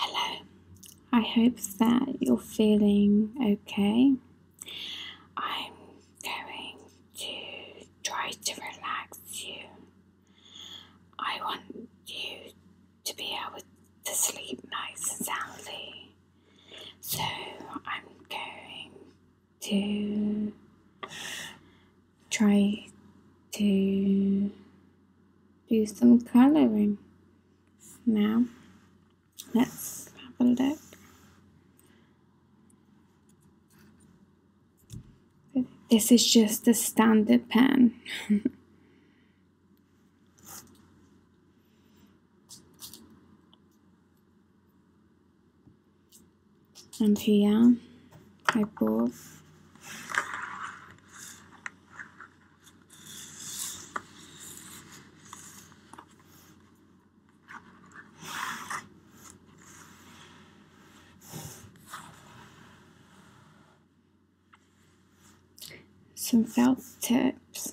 Hello, I hope that you're feeling okay. I'm going to try to relax you. I want you to be able to sleep nice and soundly. So I'm going to try to do some coloring. Now, let's have a look. This is just a standard pen and here I put some felt tips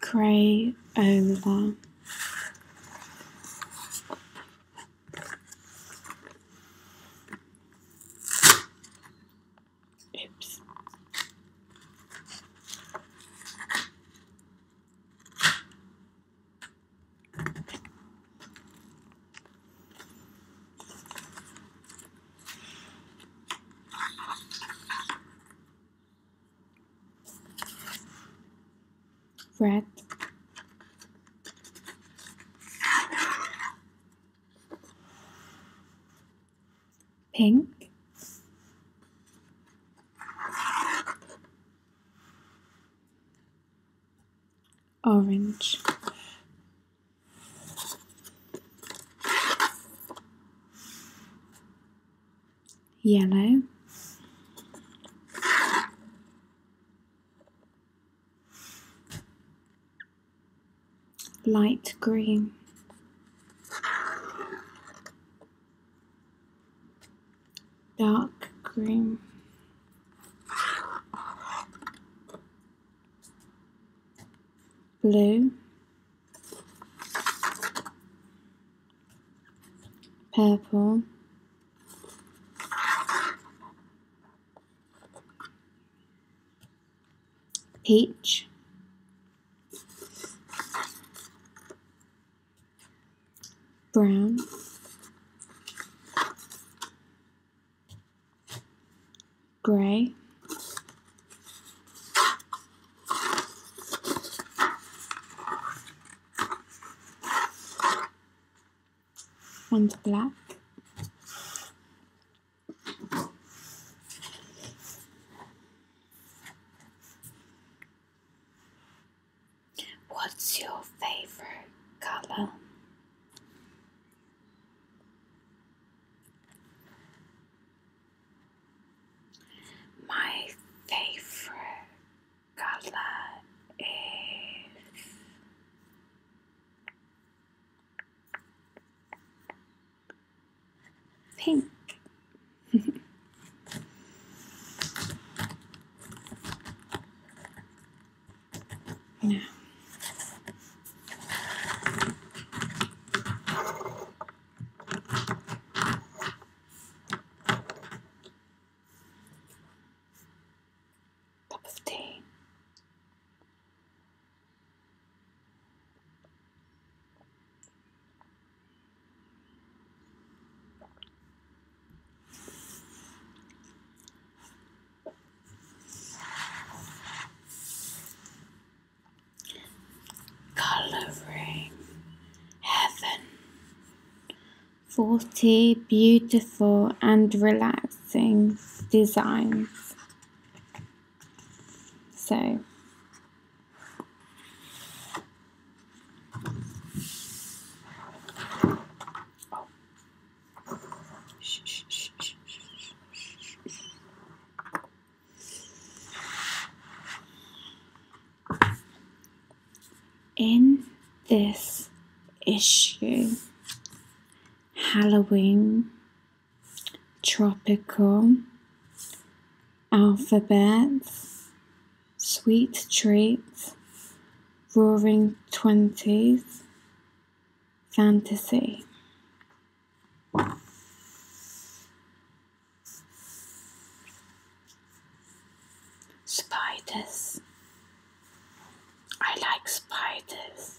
Cray over. Oops. Red. Pink orange. Yellow. Light green dark green, Blue. Purple. Peach brown, gray, and black. What's your favorite color? My favorite color is pink. Now. Cup of tea. Coloring heaven. 40 beautiful and relaxing designs. So, in this issue, Halloween, tropical, alphabets, sweet treats, Roaring Twenties Fantasy. Spiders. I like spiders.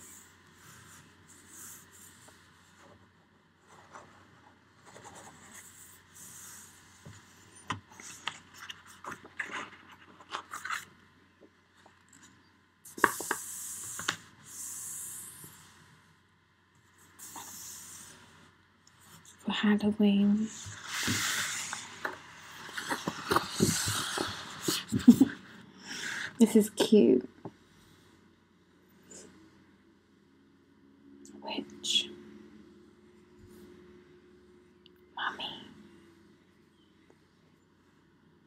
Halloween. this is cute. Witch. Mummy.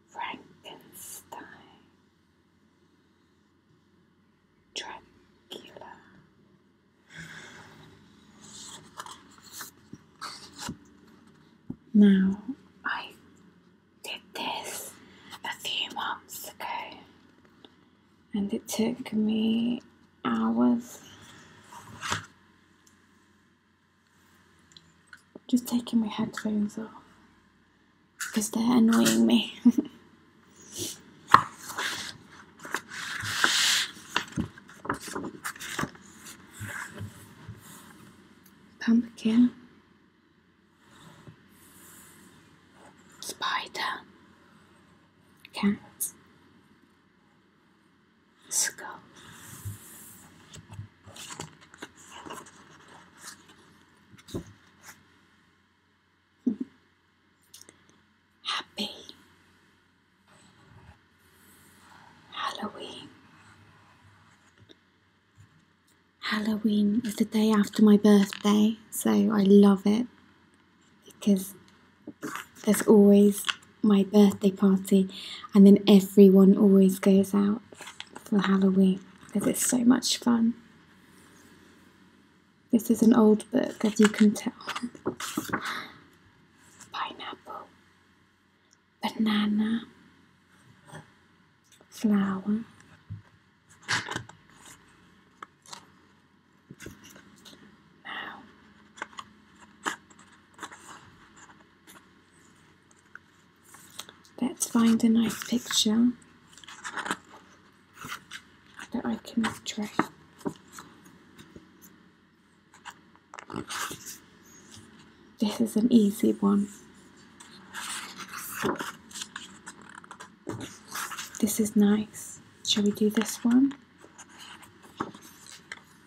Frankenstein, Dracula, now I did this a few months ago, and it took me hours just taking my headphones off because they're annoying me. Pumpkin. Spider. Cat skull. Happy Halloween. Halloween is the day after my birthday, so I love it because there's always my birthday party, and then everyone always goes out for Halloween because it's so much fun. This is an old book, as you can tell. Pineapple, banana, flower. Now, Let's find a nice picture that I can draw. This is an easy one. This is nice. Shall we do this one?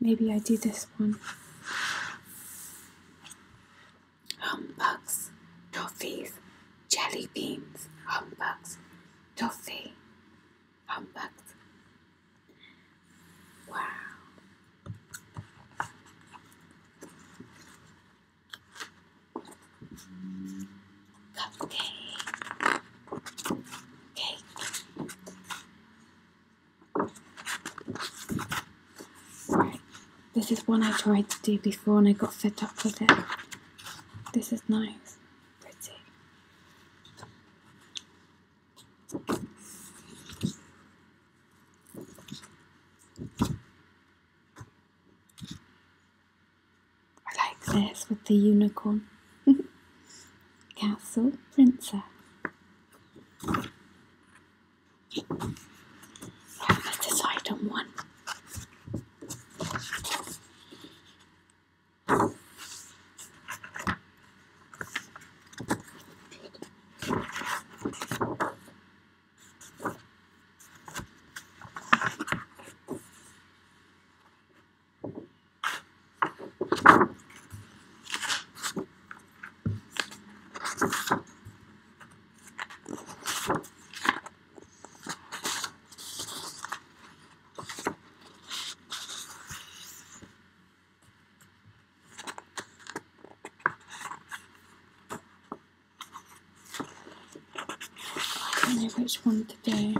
Maybe I do this one. Humbugs, toffees, jelly beans, humbugs, toffee, humbugs. Wow. Cupcake. Cake. This is one I tried to do before and I got fed up with it. This is nice. Pretty. I like this with the unicorn. Castle printer. This is item one. And there's one today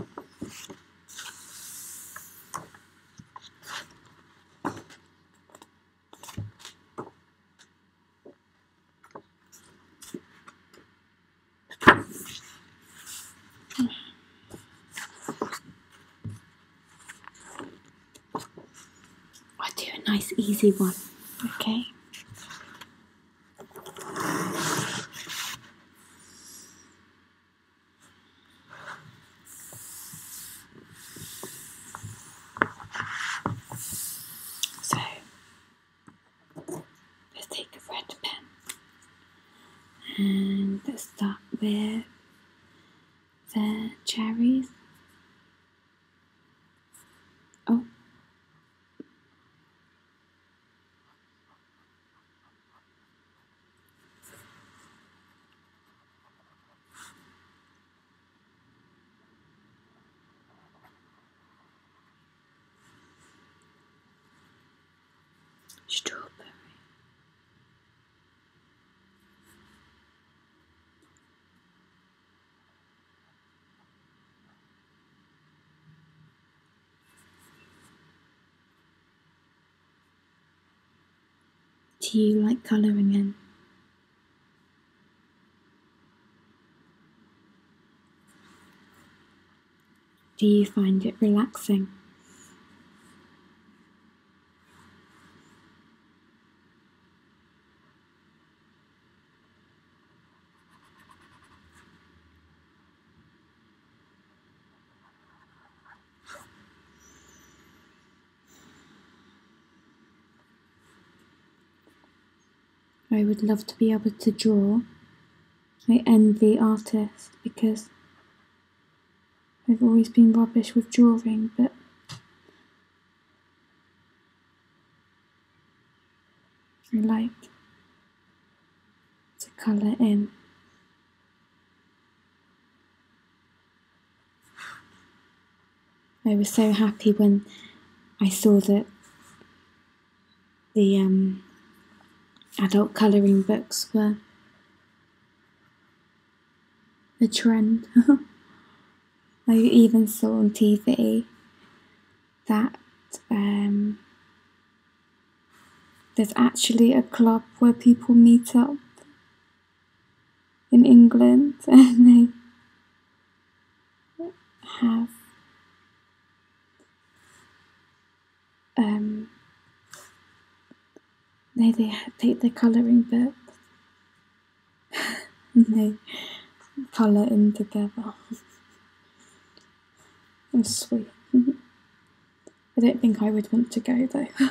i do a nice easy one, okay? So let's take a red pen and let's start with the cherries. Oh. Strawberry. Do you like colouring in? Do you find it relaxing? I would love to be able to draw. I envy artists because I've always been rubbish with drawing, but I like to colour in. I was so happy when I saw that the um, adult colouring books were the trend. I even saw on TV that um, there's actually a club where people meet up in England and I have um they they take the colouring books and they colour in together. That's sweet. I don't think I would want to go there.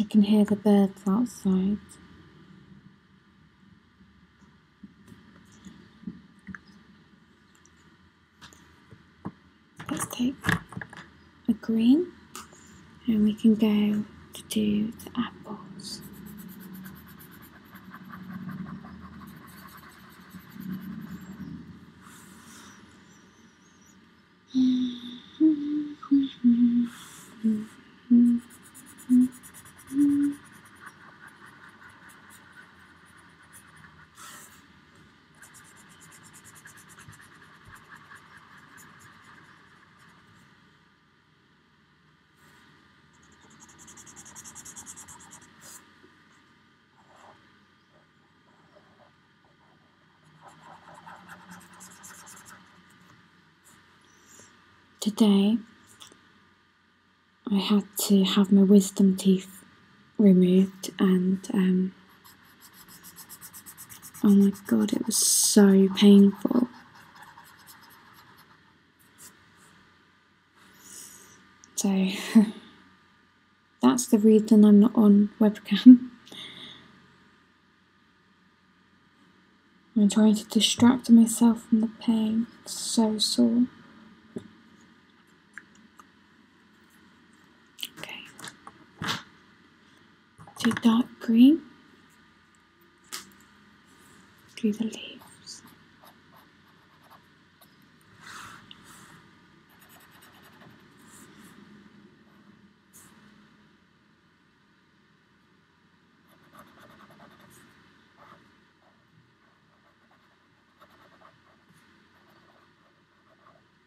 I can hear the birds outside. Let's take a green and we can go to do the apples. Today I had to have my wisdom teeth removed and um, oh my god it was so painful so that's the reason I'm not on webcam I'm trying to distract myself from the pain it's so sore Okay. To dark green through the leaves.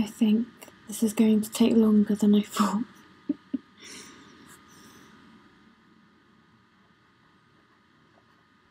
I think this is going to take longer than I thought.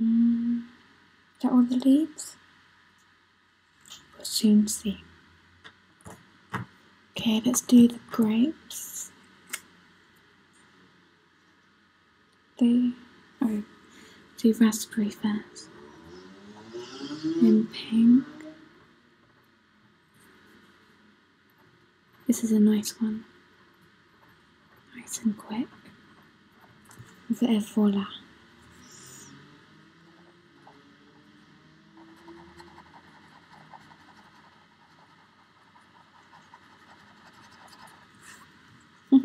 that Mm, the leaves. We'll Soon see. Okay, let's do the grapes. They oh, do raspberry first. in pink. This is a nice one. Nice and quick. There, voila.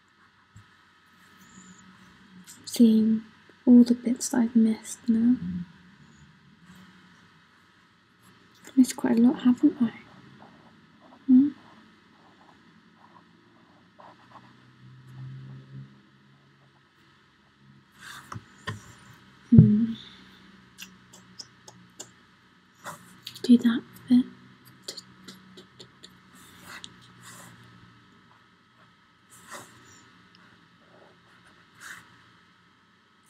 seeing all the bits that I've missed now. I've missed quite a lot, haven't I? Hmm? hmm do that bit.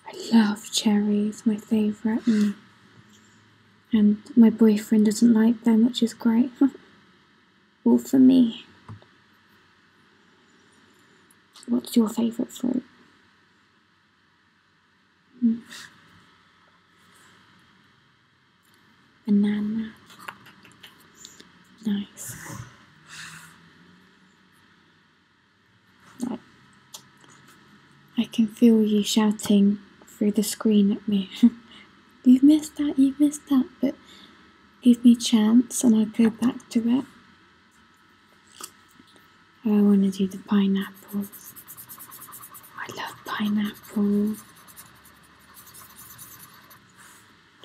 I love cherries, my favourite, and, my boyfriend doesn't like them, which is great. All for me. What's your favourite fruit? Banana. Nice. I can feel you shouting through the screen at me. you've missed that, you've missed that, but give me a chance and I'll go back to it. Oh, I want to do the pineapple. I love pineapple.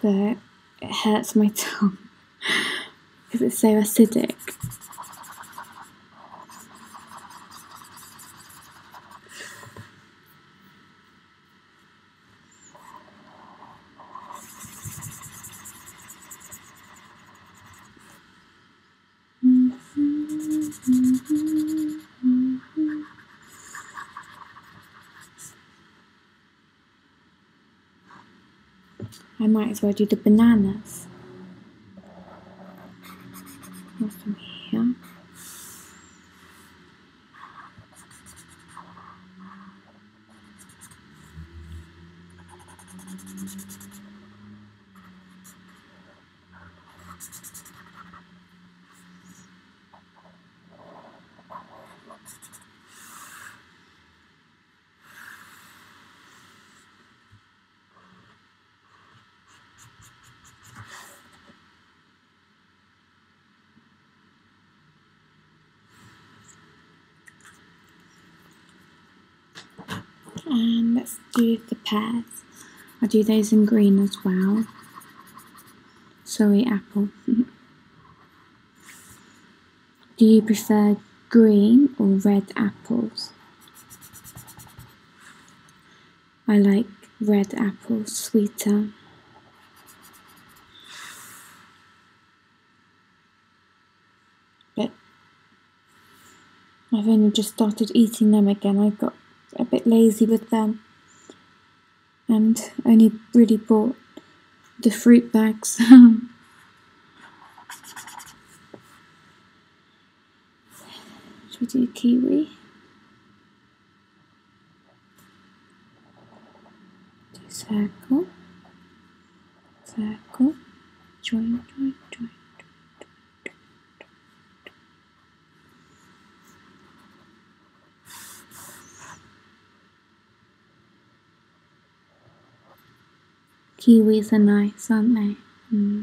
But it hurts my tongue because it's so acidic. -hmm. I might as well do the bananas. here? and let's do the pairs I do those in green as well. Sorry, apple. do you prefer green or red apples? I like red apples sweeter. But I've only just started eating them again. I got a bit lazy with them and only really bought the fruit bags. Should we do kiwi? Do circle, circle, join, join, join. Kiwis are nice, aren't they? Hmm.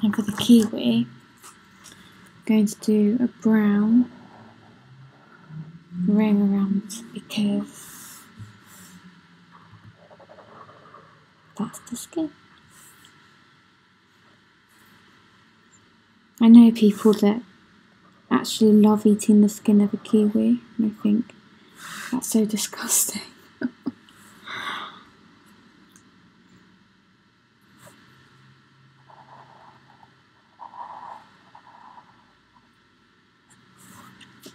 And for the kiwi, I'm going to do a brown ring around because that's the skin. I know people that actually love eating the skin of a kiwi, and I think that's so disgusting.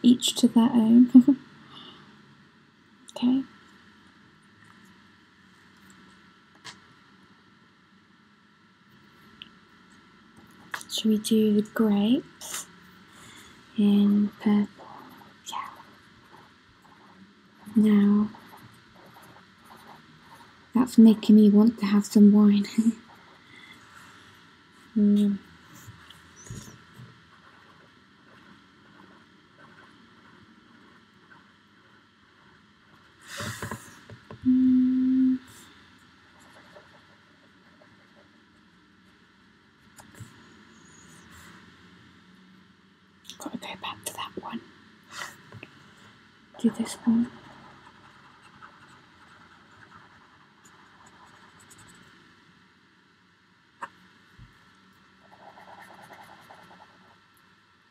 Each to their own. okay. Should we do the grapes in purple? Yeah. Now, that's making me want to have some wine. mm. Got to go back to that one. Do this one.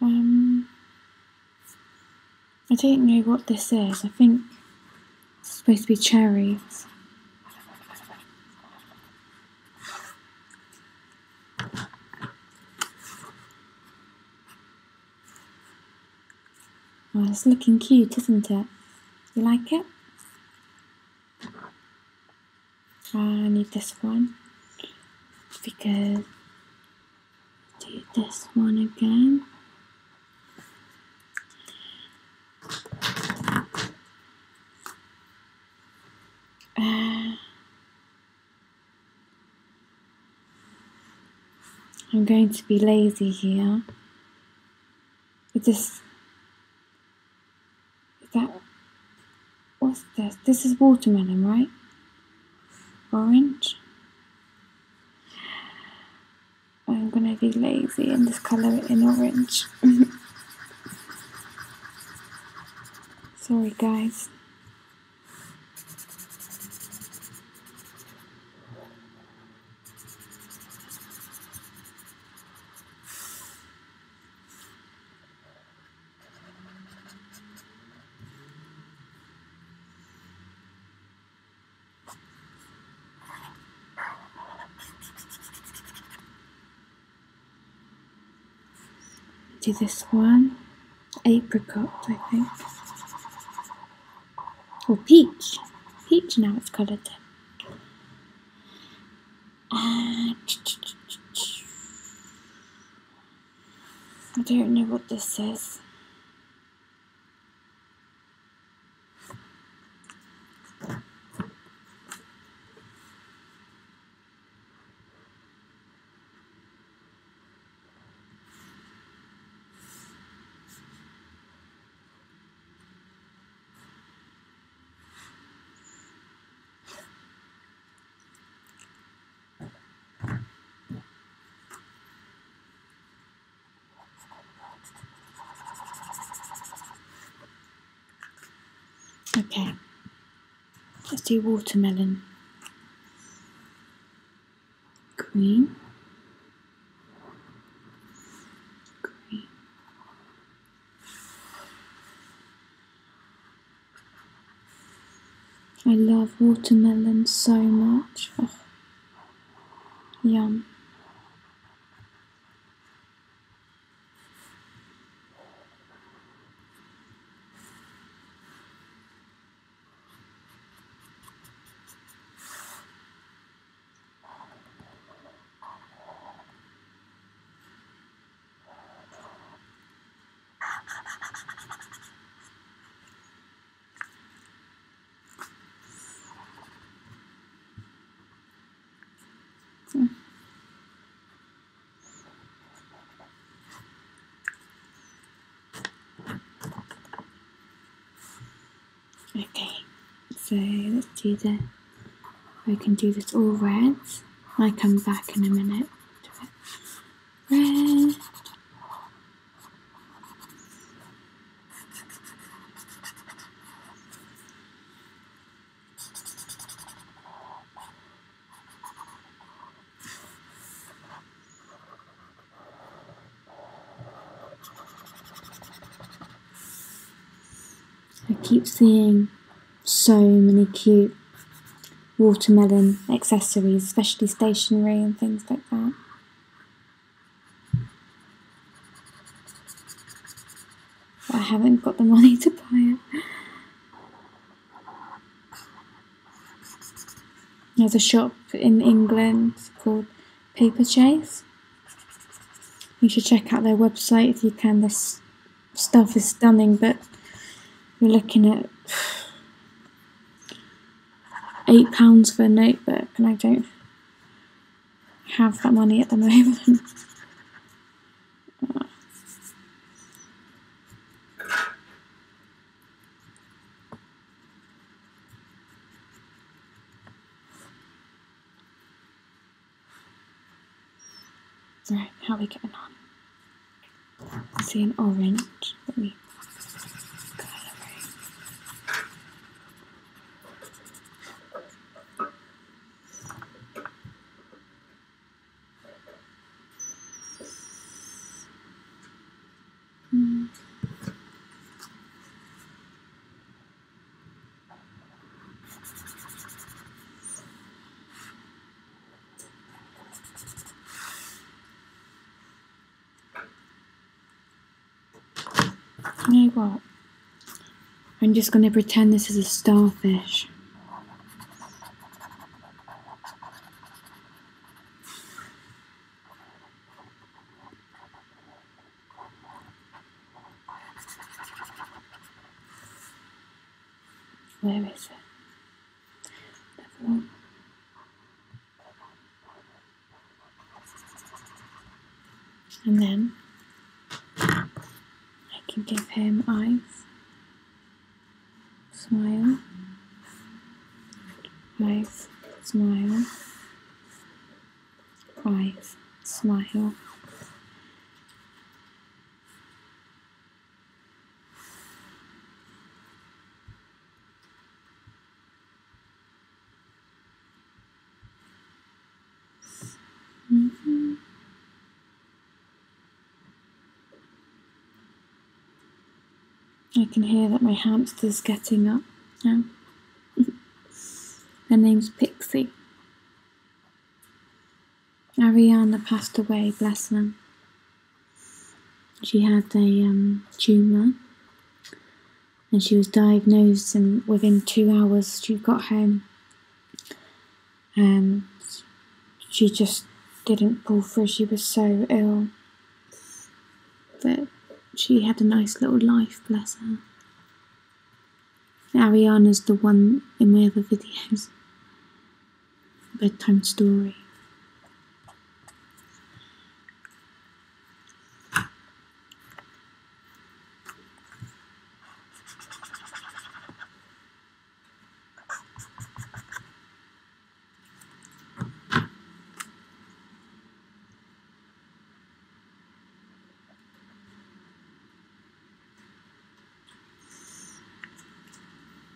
Um, I don't know what this is. I think it's supposed to be cherries. Oh, it's looking cute, isn't it? You like it? Uh, I need this one because do this one again uh, I'm going to be lazy here it is is that. What's this? This is watermelon, right? Orange. I'm gonna be lazy and just colour it in orange. Sorry, guys. Do this one, apricot, I think, or oh, peach. Peach now it's coloured. Uh, I don't know what this says. Okay, let's do watermelon. Green. Green. I love watermelon so much. Oh, yum. Hmm. Okay, so let's do the, I can do this all red. I come back in a minute. I keep seeing so many cute watermelon accessories, especially stationery and things like that. I haven't got the money to buy it. There's a shop in England called Paper Chase. You should check out their website if you can. they stuff is stunning, but you're looking at eight pounds for a notebook, and I don't have that money at the moment. Right, how are we getting on? I see an orange. Let me mm. You know I'm just going to pretend this is a starfish. Where is it? And then I can give him eyes, smile, eyes, smile, eyes, smile. I can hear that my hamster's getting up now. Her name's Pixie. Ariana passed away, bless her. She had a um, tumour and she was diagnosed, and within two hours, she got home. And she just didn't pull through, she was so ill. But she had a nice little life, bless her. Ariana's the one in my other videos bedtime story. Okay,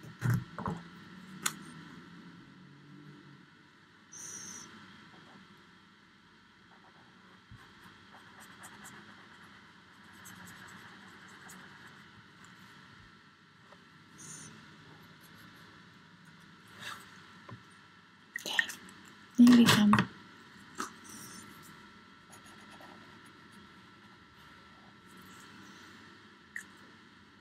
then we come.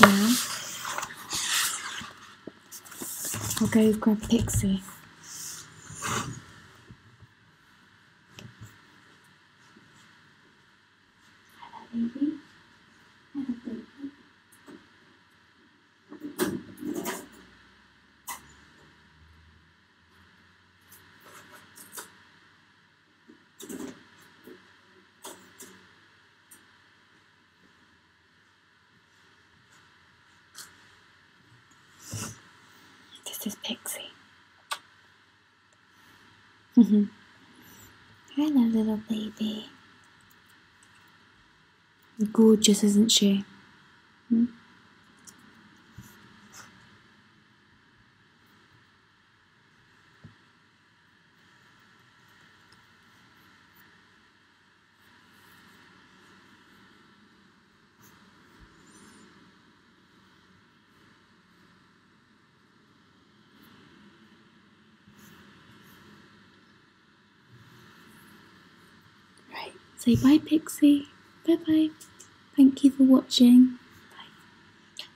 Yeah. I'll go grab Pixie. This is Pixie. Mm-hmm. Hello, little baby. Gorgeous, isn't she? Hmm? Right, say bye, Pixie. Bye bye. Thank you for watching. Bye.